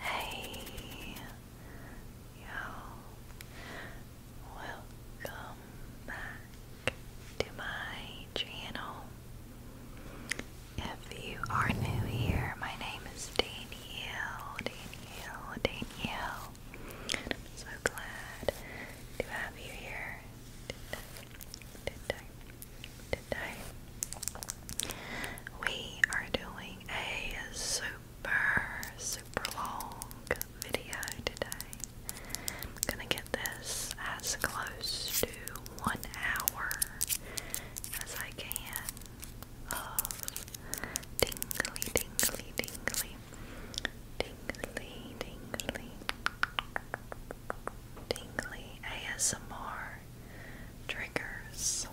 Hey, yo, welcome back to my channel. If you are new here, my name is Daniel. Danielle, Danielle. so glad to have you here today we are doing a super, super long video today. I'm gonna get this as close to one hour as I can of tingly, tingly, tingly, tingly, tingly tingly ASMR triggers.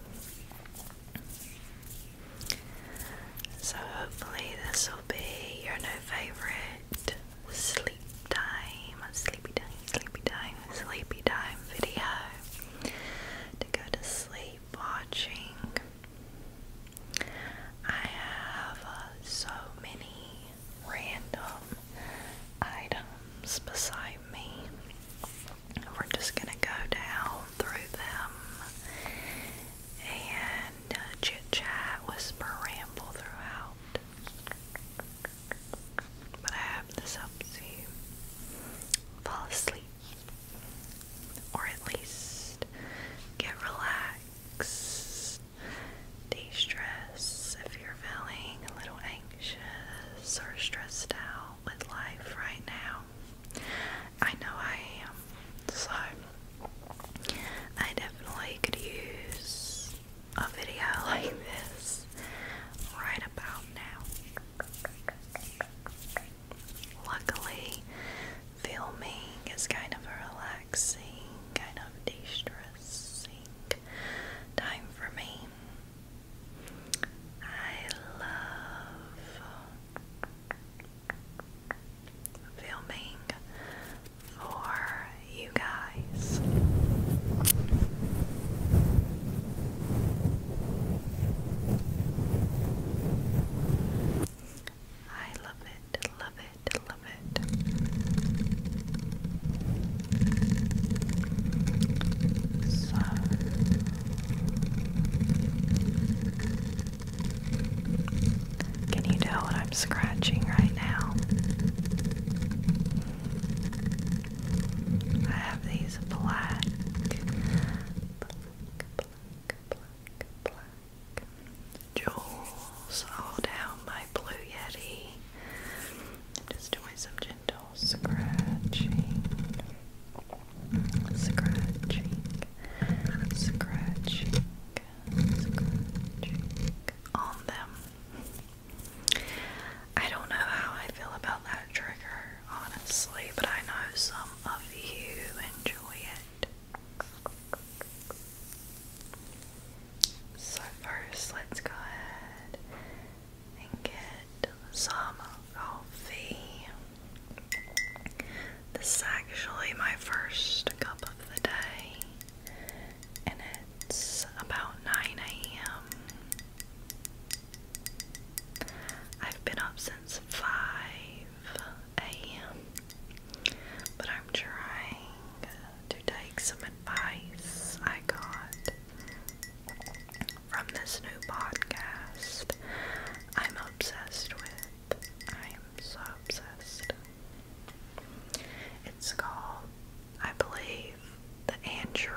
So, hopefully, this will be your new favorite sleep time, sleepy time, sleepy time, sleepy time video to go to sleep watching. I have uh, so many random items beside me. We're just going to go down through them and uh, chit chat, whisper, ramble throughout. But I hope this helps you fall asleep or at least get relaxed, de stress if you're feeling a little anxious or stressed out with life right now. I know I am. So, I definitely could use a video like this right about now. Luckily, filming is kind of a relaxing, kind of de stressing time for me. I love filming for you guys. I love it, love it, love it can you tell what I'm scratching right now? I have these black, black, black, black, black jewels all down my blue yeti i just doing some gentle scratching, scratching, scratching, scratching on them. I don't know how I feel about that trigger, honestly, but I know some of you enjoy it. So first, let's go ahead and get some coffee. This is actually my first cup of the day, and it's about 9 a.m. I've been up since 5 a.m., but I'm trying to take some advice I got from this new podcast I'm obsessed with. I am so obsessed. It's called, I believe, the Andrew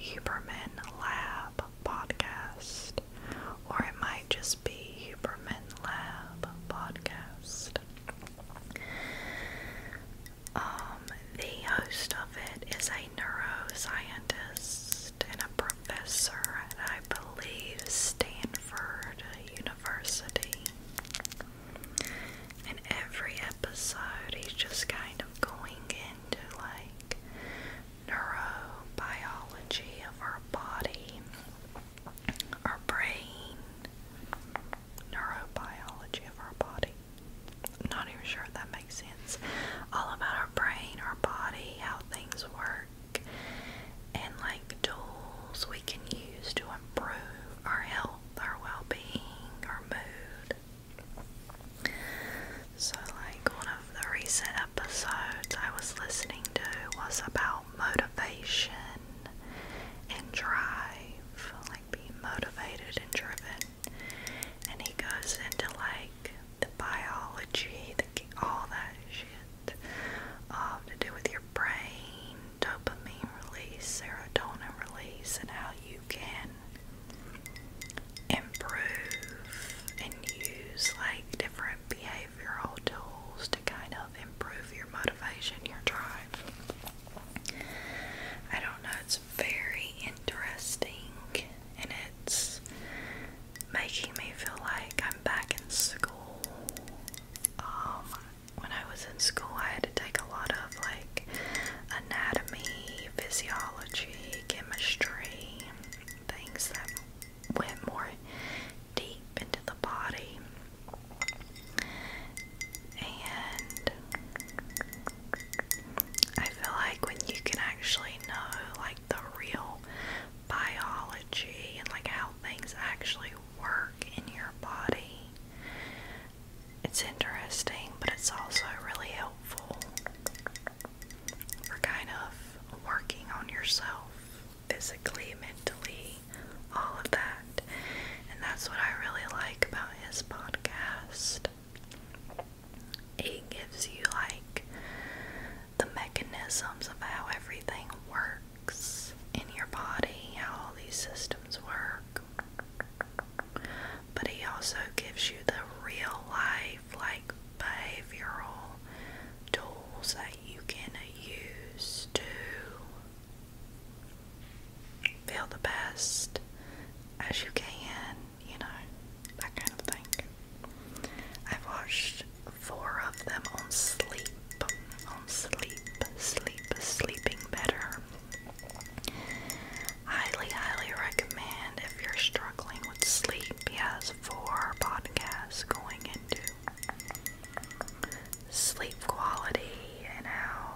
Huberman Lab Podcast, or it might just be Huberman Lab Podcast. Um, the host of it is a neuroscientist and a professor at, I believe, Stanford University. In every episode, he's just kind of going into like neurobiology of our body, our brain, neurobiology of our body. Not even sure if that makes sense. All about our brain, our body, how things work, and like tools we can use to improve our health, our well being, our mood. So, like one of the recent episodes I was listening to was about motivation and drive, like motivated and driven. And he goes into like the biology, the, all that shit um, to do with your brain, dopamine release, serotonin release, and how you can improve and use like different behavioral tools to kind of improve your motivation, your drive. I don't know, it's very interesting and it's making me feel like I'm back in school. Um, when I was in school, I had to take a lot of like anatomy, physiology, chemistry, things that went more deep into the body. And I feel like when you can actually know like the real biology and like how things actually work in your body, it's interesting, but it's also really helpful for kind of working on yourself physically, mentally, all of that. And that's what I really like about his podcast. It gives you like the mechanisms of how everything works in your body, how all these systems work. But he also gives you the real life, like behavioral tools that you can use to feel the best as you can, you know, that kind of thing. I've watched four of them on sleep, on sleep, sleep, sleeping better. Highly, highly recommend if you're struggling with sleep. Yes, four podcasts going into sleep quality and how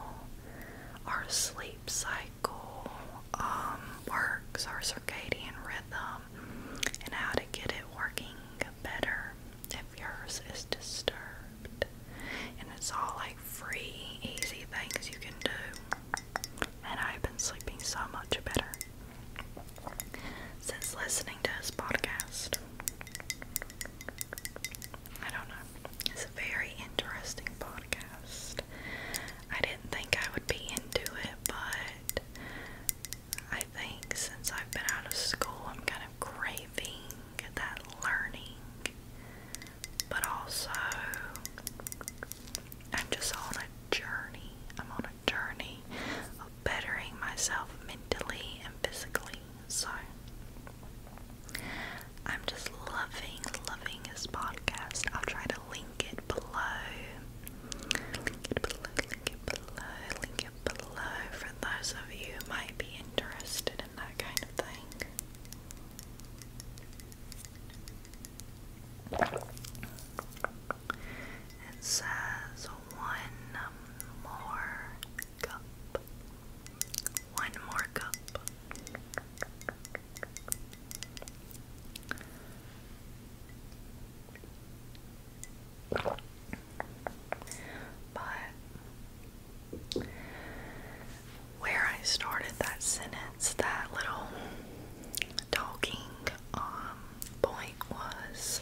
our sleep cycle um, works, our circadian rhythm, and how to get it working better if yours is disturbed. And it's all like free, easy things you can do. And I've been sleeping so much better since listening to his podcast. I don't know. It's a very interesting podcast. I didn't think I would be into it, but I think since I've been out of school, I'm kind of craving that learning. But also, I'm just on a journey. I'm on a journey of bettering myself mentally and physically. So I'm just loving, loving his podcast. I'll try to link it below. Link it below, link it below, link it below for those of you might be interested in that kind of thing. It says one more cup one more cup. But where I started that sentence, that little talking um point was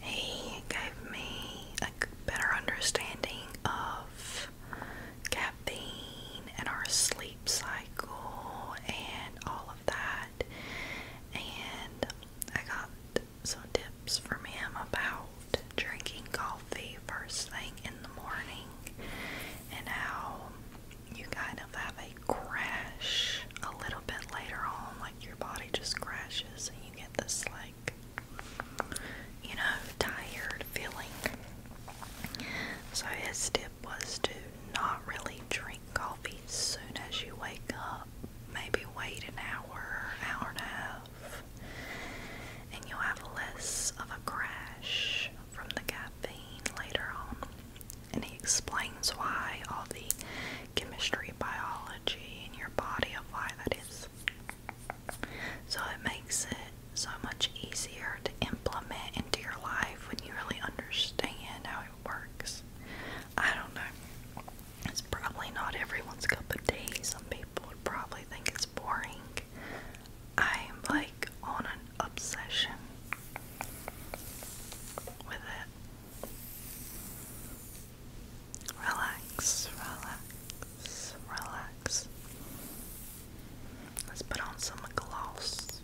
he gave me like better understanding of caffeine and our sleep cycle and all of that. And I got some tips from him about drinking coffee first thing in the morning and how you kind of have a crash a little bit later on, like your body just crashes and you get this like you know, tired feeling. So his tip was to not really drink coffee soon as you wake up. Maybe wait an hour, hour and a half, and you'll have less of a crash from the caffeine later on. And he explains why all the chemistry, biology, and your body of why that is. So it makes it so much easier to implement into your life when you really understand how it works. I don't know. It's probably not everyone's cup of tea. Some people would probably think it's boring. I am like on an obsession with it. Relax, relax, relax. Let's put on some gloss.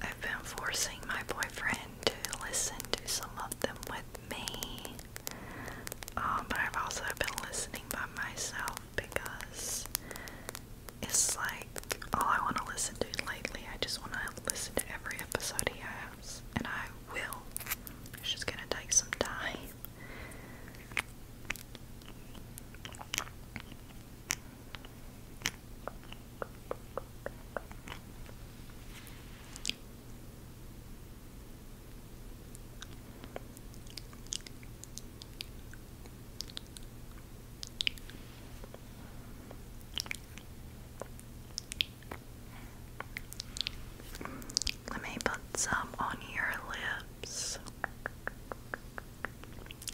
I've been forcing my boyfriend to listen to some of them with me, um, but I've also been listening by myself because it's like all I want to listen to lately. I just want to listen to every episode he has, and I will. It's just gonna take some time. Let me put some on your lips.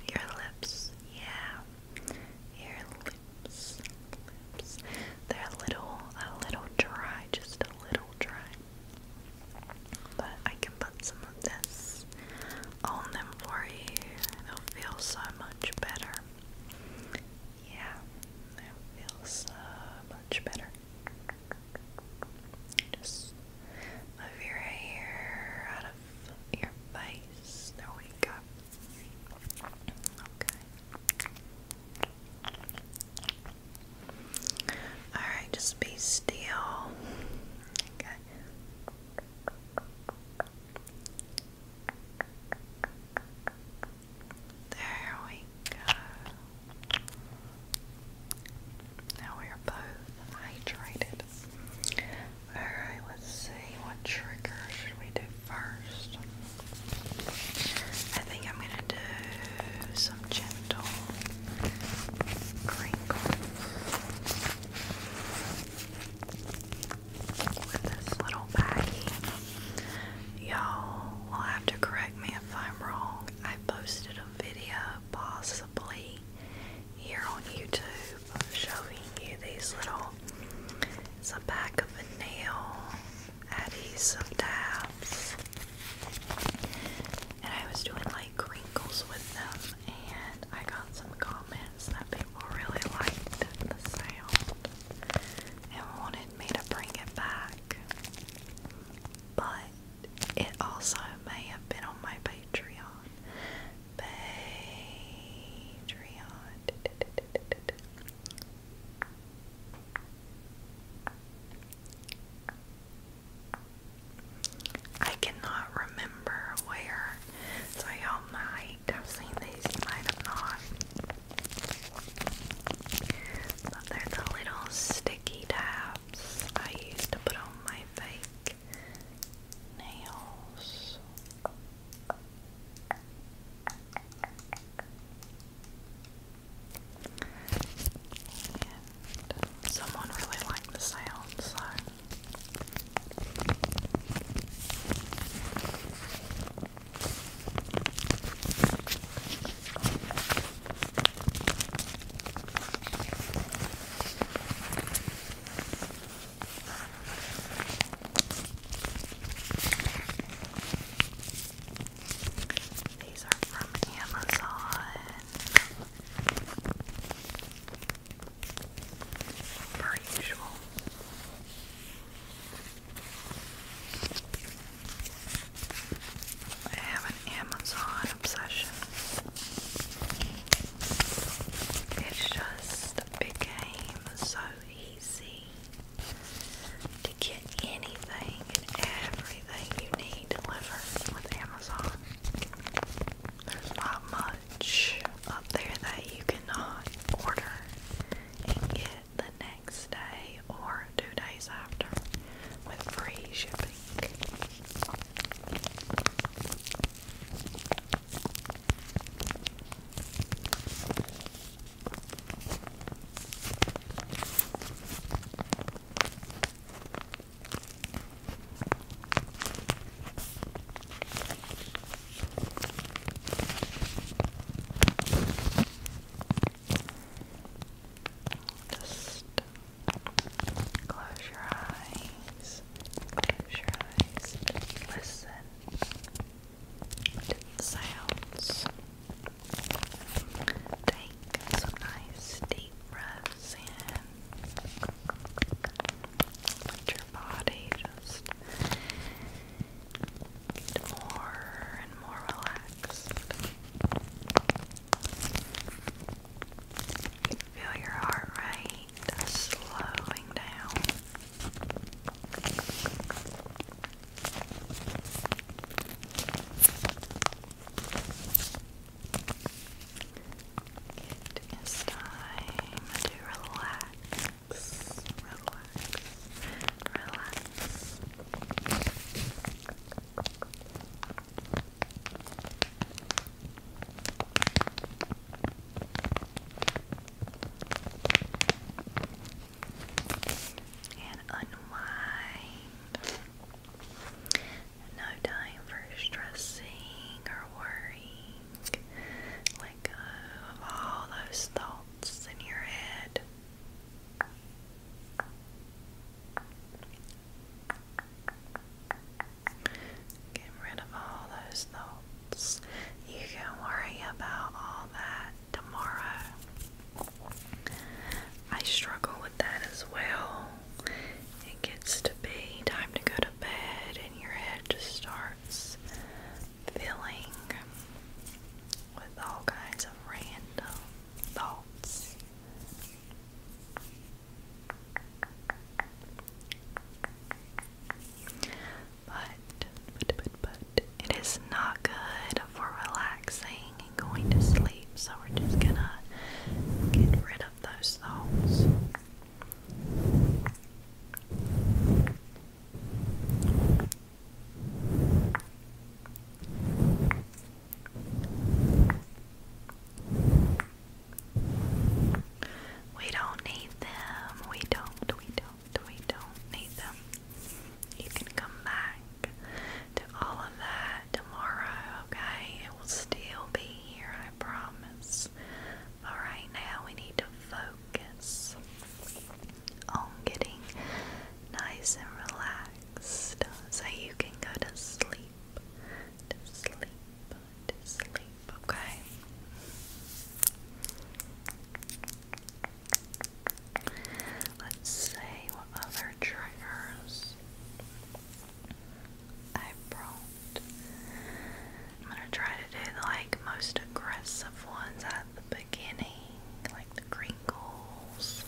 Your lips, yeah. Your lips, lips. They're a little, a little dry, just a little dry. But I can put some of this on them for you. They'll feel so much better. Yeah, feels uh, much better. Just move your hair out of your face. There we go. Okay. Alright, just be still. Okay. There we go. Now we are both hydrated. Alright, let's see what trigger should we do first. I think I'm gonna do some gentle crinkles with this little baggie. Y'all will have to correct me if I'm wrong. I posted a video possibly here on YouTube showing you these little it's a pack of a nail adhesive tabs. And I was doing like wrinkles with them and I got some comments that people really liked the sound and wanted wanted me to bring it back, but it also may have been on my Patreon. Patreon. I cannot remember where, so y'all might have seen these, you might not. But they're the little sticky tabs I used to put on my fake nails. And someone really liked the sound, so these are from Amazon. Per usual. I have an Amazon obsession. It's just became so easy to get anything and everything you need delivered with Amazon. There's not much up there that you cannot order and get the next day or two days after with free shipping. Just close your eyes. Close your eyes. Listen to the sounds. Take some nice deep breaths in. Let your body just more and more relaxed. Feel your heart rate slowing down. It is time to relax relax, relax. And unwind. No time for stressing or worrying. Let go of all those thoughts else in your head. Get rid of all those thoughts. You can worry about all that tomorrow. I struggle with that as well. It gets to be time to go to bed, and your head just starts filling with all kinds of random thoughts. But, but, but, but, it is not good for relaxing and going to sleep, so we're just gonna get rid of those thoughts. We don't need them. We don't, we don't, we don't need them. You can come back to all of that tomorrow, okay? It will still be here, I promise. But right now, we need to focus focus on getting nice and relaxed so you can go to sleep, to sleep, to sleep, okay? Let's see what other triggers I brought. I'm gonna try to do the like most aggressive ones at the beginning like the crinkles.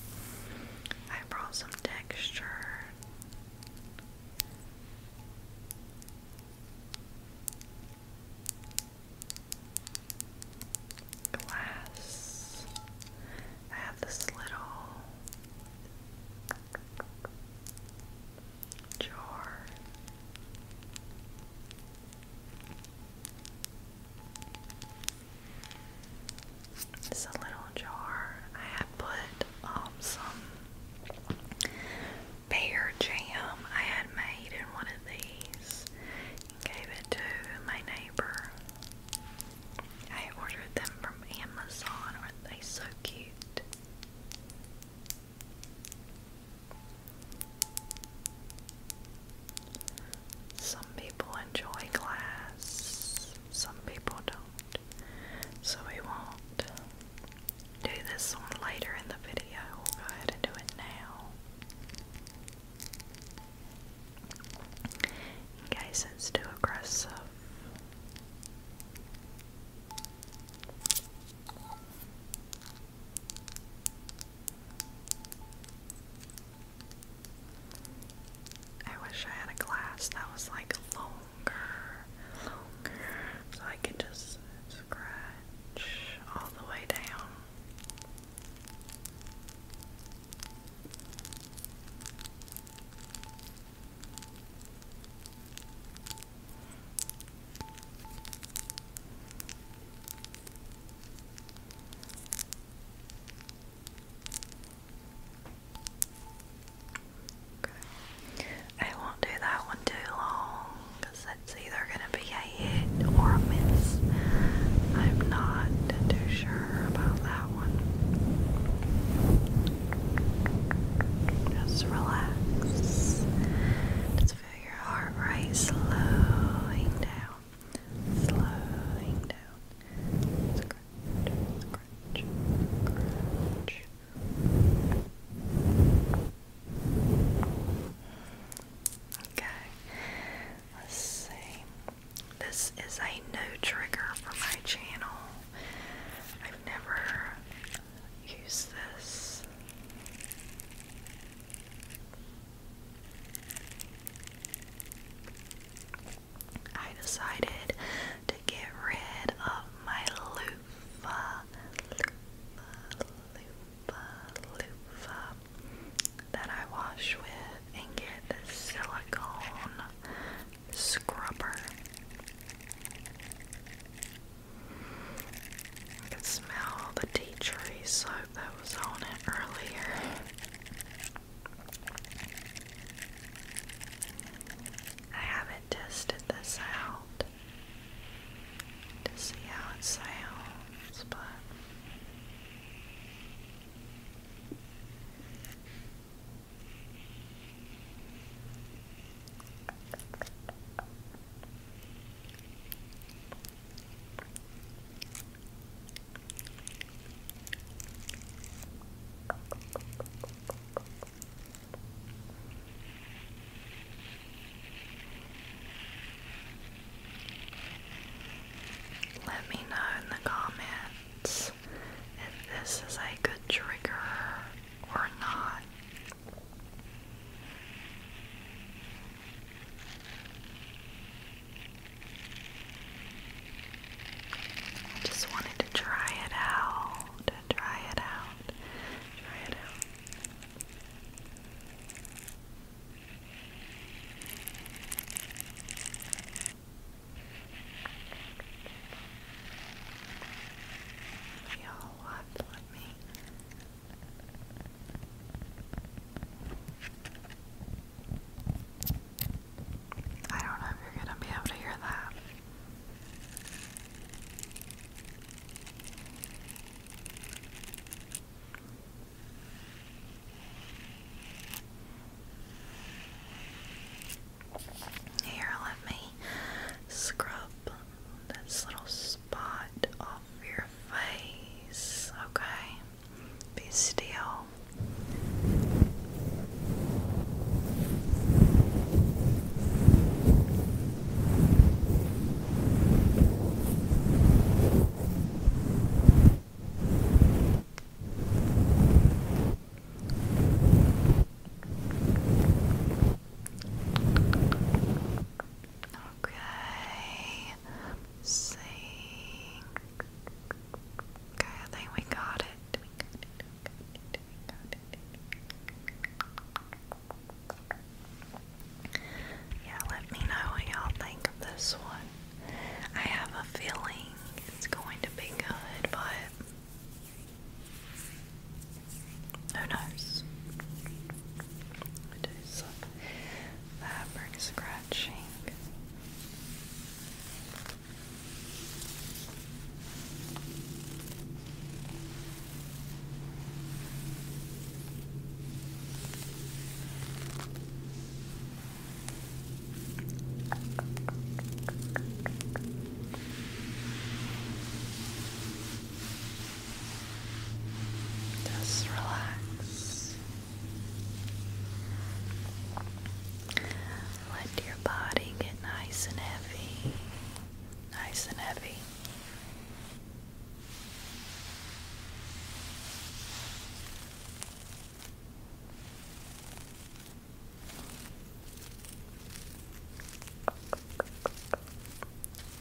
I brought some texture. Glass. I have this little jar. It's a little jar. I had put um, some bear jam I had made in one of these gave it to my neighbor. I ordered them from Amazon. Aren't they so cute? Some people enjoy glass, some people don't. So we won't do this one later in the video. go ahead and do it now. In it's too aggressive. I wish I had a glass that was like longer, so I could just scratch all the way down. Okay. I won't do that one too long because either going to be a hit or a miss. I'm not too sure about that one. Just relax feel your heart rate slowing down, slowing down. Okay, let's see. This is a no trigger for my channel. I've never used this. I decided to get rid of my loofah, loofah, that I wash with and get the silicone scrubber. I can smell the tea tree soap that was on it earlier. I haven't tested this out to see how it sounds, but let me know in the comments if this is a good trigger or not. I just wanted to try it out, try it out, try it out. Y'all, what? me I don't know if you're going to be able to hear that. Here, let me scrub this little spot off your face. Okay, be still. Okay. Sing. Okay, I think we got it. Yeah, let me know what y'all think of this one. I have a feeling it's going to be good, but who knows? It is suck fabric uh, scratching. Just relax. Let your body get nice and heavy. Nice and heavy.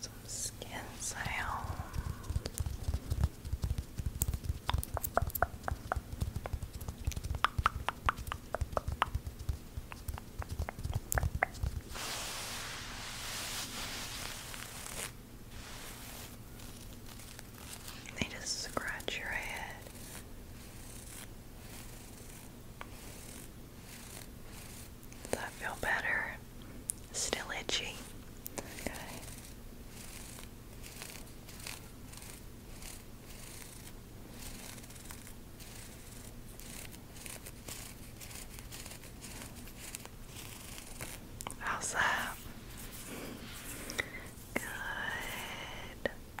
some skin sounds. They just scratch your head. Does that feel better? Still itchy. Okay. How's that? Good.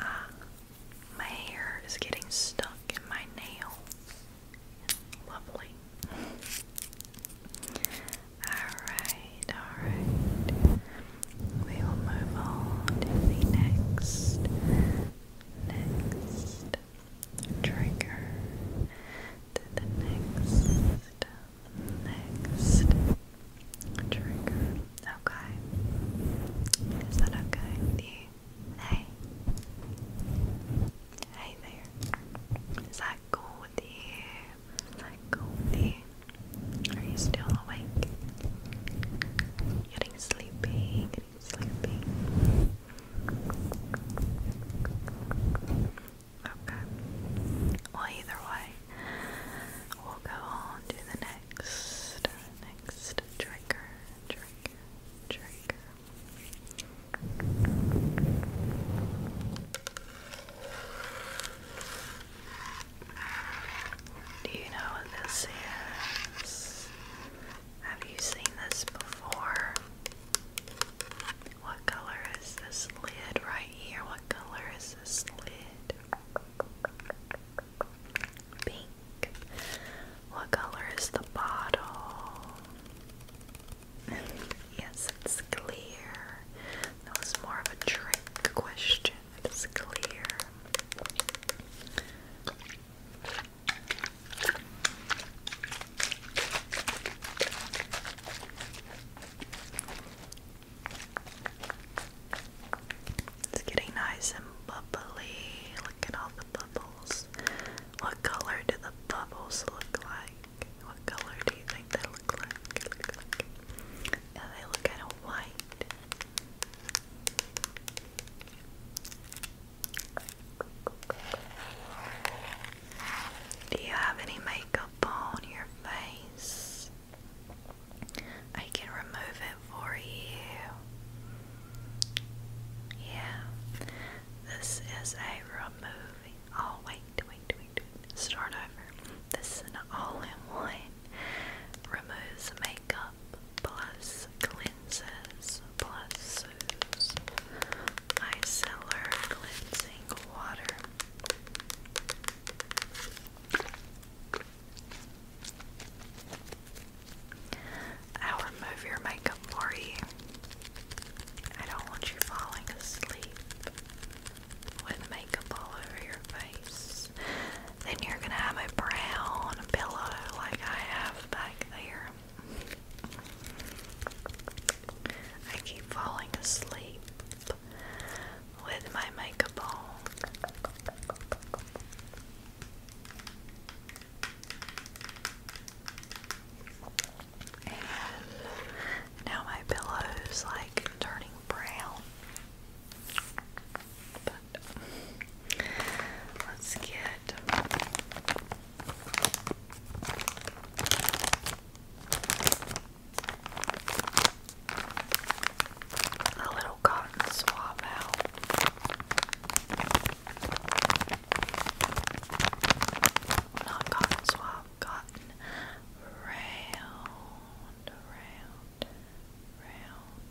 Ah, my hair is getting stuck in my nail. Lovely. Alright, alright. We will move on to the next, next, trigger to the next, next trigger. Okay, is that okay with you? Hey, hey there. Is that cool with you? Is that cool with you? Are you still awake? Getting sleepy, sleepy. Okay. Well, either way, we'll go on to the next, next trigger, trigger, trigger. Do you know what this is? Have you seen this before? What color is this lid right here? What color is this lid? Pink. What color is the bottle? yes, it's clear. That was more of a trick question. It's clear. It's getting nice and bubbly. Look at all the bubbles. What color do the bubbles look like? What color do you think they look like? they look kind of white. Do you have any makeup on your face? I can remove it for you. Yeah. This is a removing. Oh, wait, wait, wait, wait. Start over. This is an all in one. Removes makeup plus cleanses plus soothes micellar cleansing water. I'll remove your makeup for you. I don't want you falling asleep with makeup all over your face. Then you're gonna have a brown pillow like I have back there. I keep falling asleep with my makeup on. And now my pillow's like turning brown. let's get a little cotton swab out. Not cotton swab, cotton round, round, round,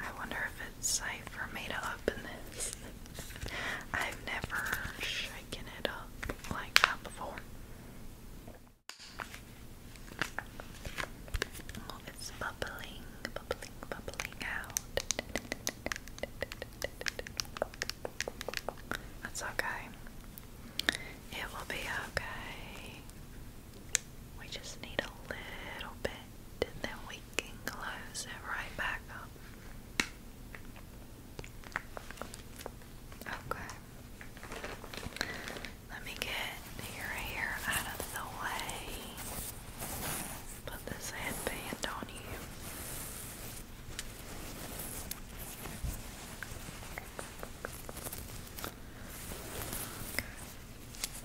I wonder if it's safe for me to open this. I've never shaken it up like that before. it's bubbling, bubbling, bubbling out. That's okay. It will be okay. We just need a little bit and then we can close it right back up. Okay. Let me get your hair out of the way. Put this headband on you.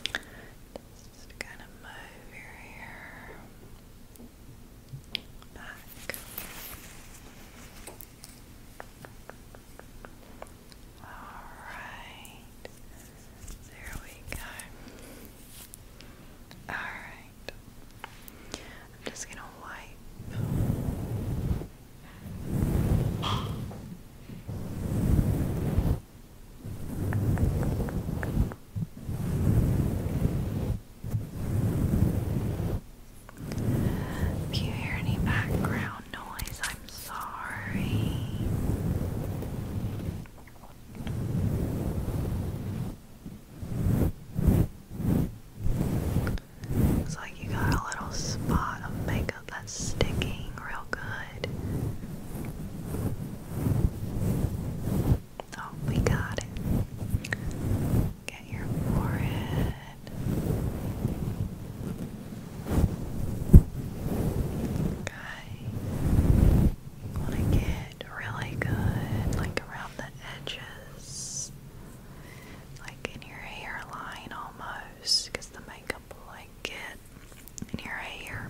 Just gonna move your hair back. All right, there we go. All right, I'm just gonna wipe if you hear any background noise, I'm sorry. Because I you got a little spot of makeup that's sticking real good. Oh, we got it. Get your forehead. Okay. want to get really good, like around the edges, like in your hairline almost, the makeup get. And here I hear.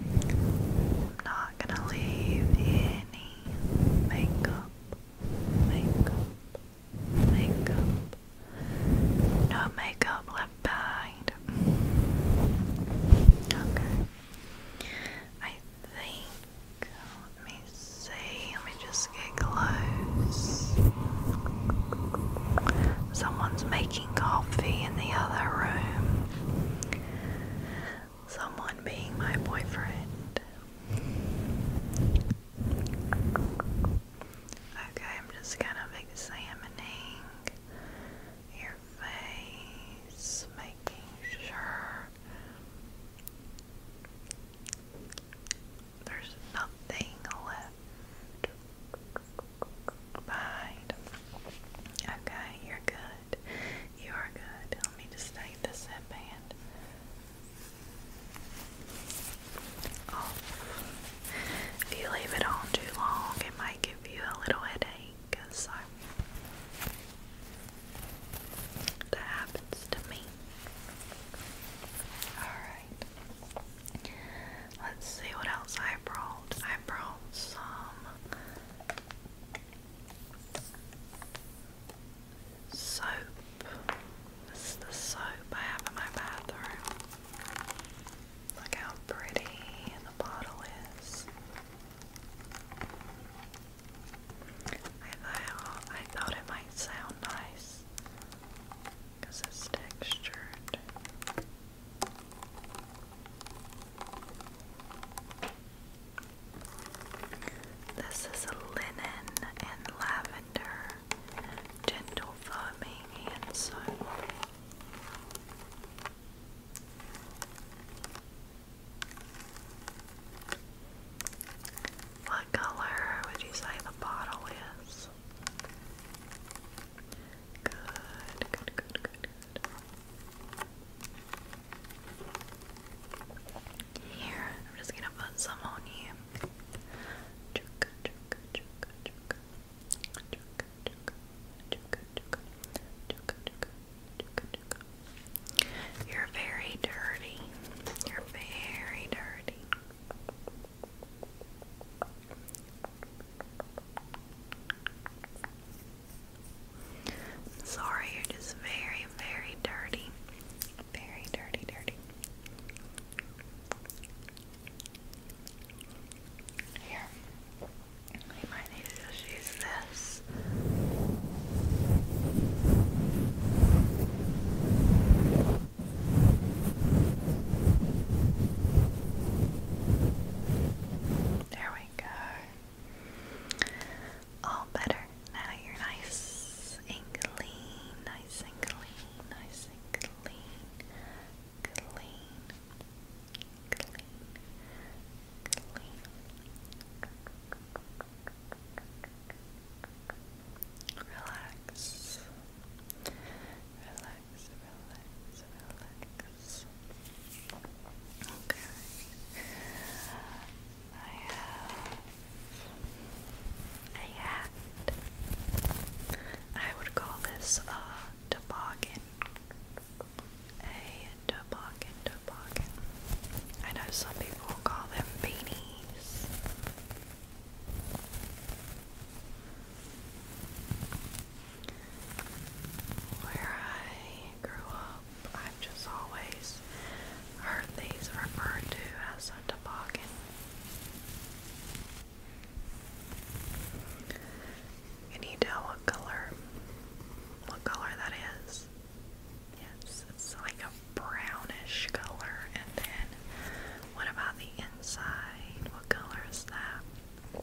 I'm not gonna leave any makeup, makeup, makeup, no makeup left behind. Okay. I think let me see, let me just get close. Someone's making coffee in the other room someone being my boyfriend. Okay, I'm just kind of examining your face, making sure there's nothing left behind. Okay, you're good. You are good. Let me to take this headband off. Oh, if you leave it on too long, it might give you a little headache. So that happens to me. Alright. Let's see what else I brought. I brought some Soap. This is the soap I have in my bathroom. Look how pretty the bottle is. I thought, I thought it might sound nice because it's textured. This is a linen and lavender gentle foaming hand soap. What color would you say the bottle is? Good, good, good, good, here, I'm just gonna put some on you. You're very dirty. You're very dirty sorry, you're just very, very dirty. Very dirty, dirty. Here. We might need to use this. There we go. All better. Now you're nice clean, nice clean, nice and clean, clean, clean, clean. Relax. Relax, relax, relax things. I I would call this a toboggan. A toboggan, toboggan. I know some people call them beanies. Where I grew up, I've just always heard these referred to as a toboggan. Can you tell what color, what color that is? Yes, it's like a brownish color. And then, what about the inside? What color is that?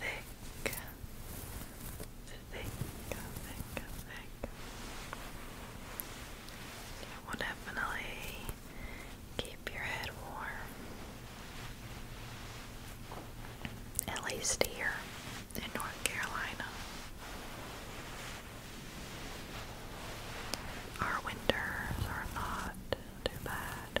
thick, thick, thick, thick. It will definitely keep your head warm, at least here in North Carolina. Our winters are not too bad.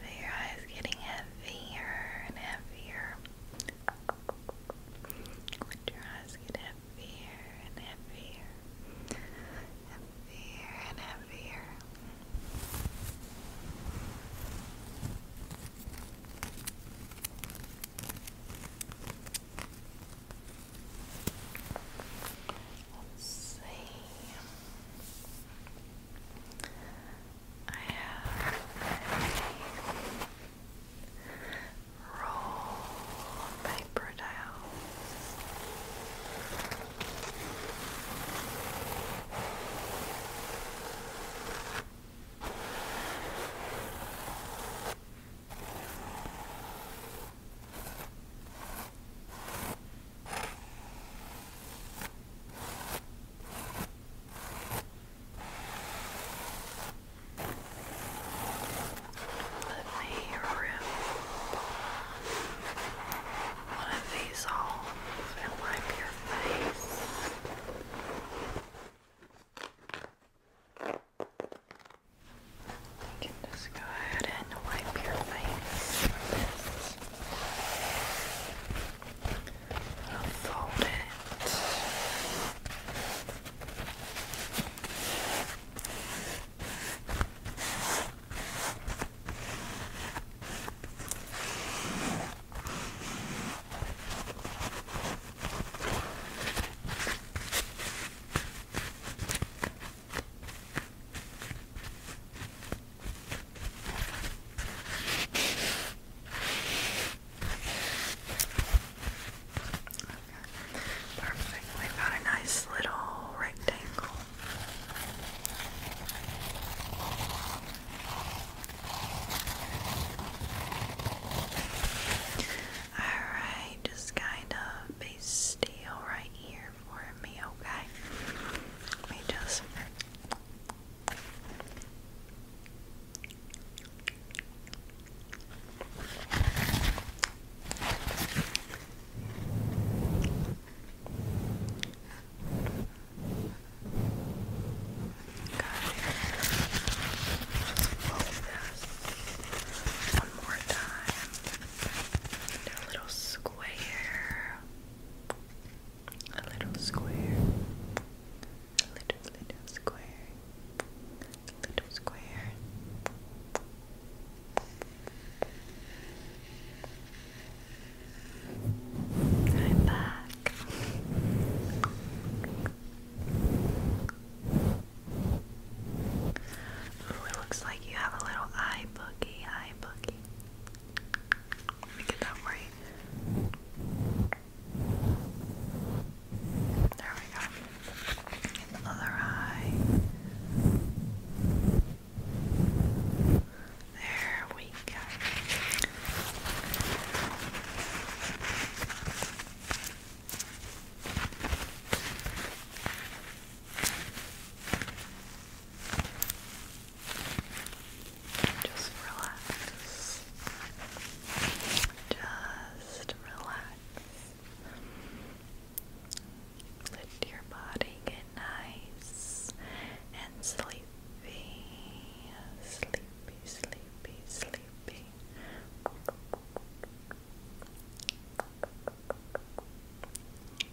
But your eyes getting heavier and heavier. Let your eyes get heavier and heavier, heavier and heavier. Let's see. I have a roll of paper towels. Let me rip one of these off and wipe your face can just go ahead and wipe your face from this. I'll fold it. Perfect. We've got a nice little rectangle. All right, just kind of be still right here for me, okay? Let me just. Got it. One more time. And a little square a little square, a little, little square, a little square. I'm back. Ooh, it looks like you have a little eye boogie, eye boogie, let me get that right. There we go. And the other eye. There we go. Just relax. Just relax. Let your body get nice and sleepy. Sleepy, sleepy, sleepy.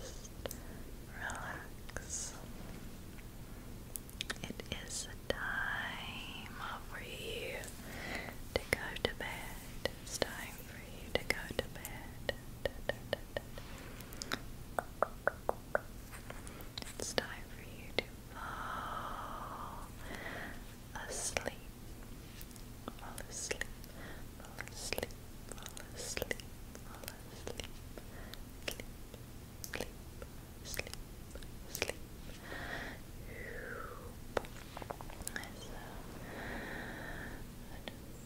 Just relax. It is a time for you to go to bed. It's time for you to go to bed. Da, da, da, da. It's time for you to fall asleep fall asleep, fall asleep, fall asleep, fall asleep, sleep, sleep, sleep, sleep. So, I just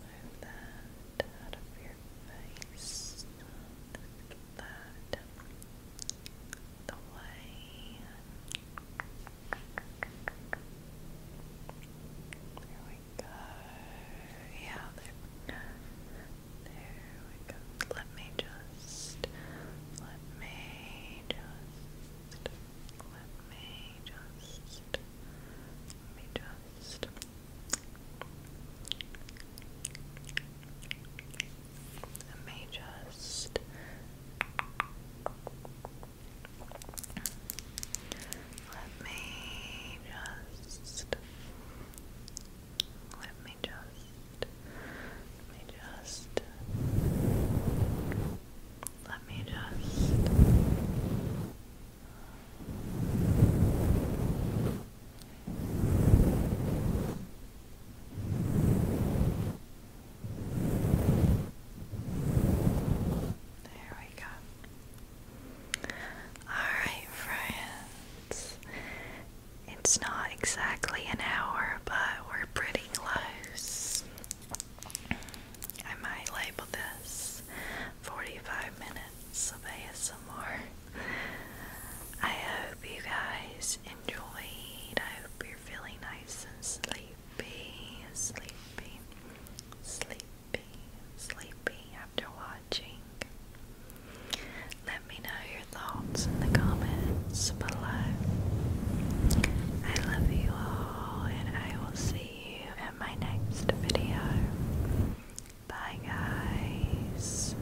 move that out of your face. that. The way. Yeah, there. There we go. Let me just. Let me just. Let me just. Let me just. Let me just. Let me just let me just let me just let me just there we go. Alright, friends. It's not exactly an hour, but we're pretty close. I might label this 45 minutes of ASMR. I hope you guys enjoyed. I hope you're feeling nice and sleepy, sleepy, sleepy be sleepy after watching? Let me know your thoughts in the comments below. I love you all, and I will see you in my next video. Bye, guys.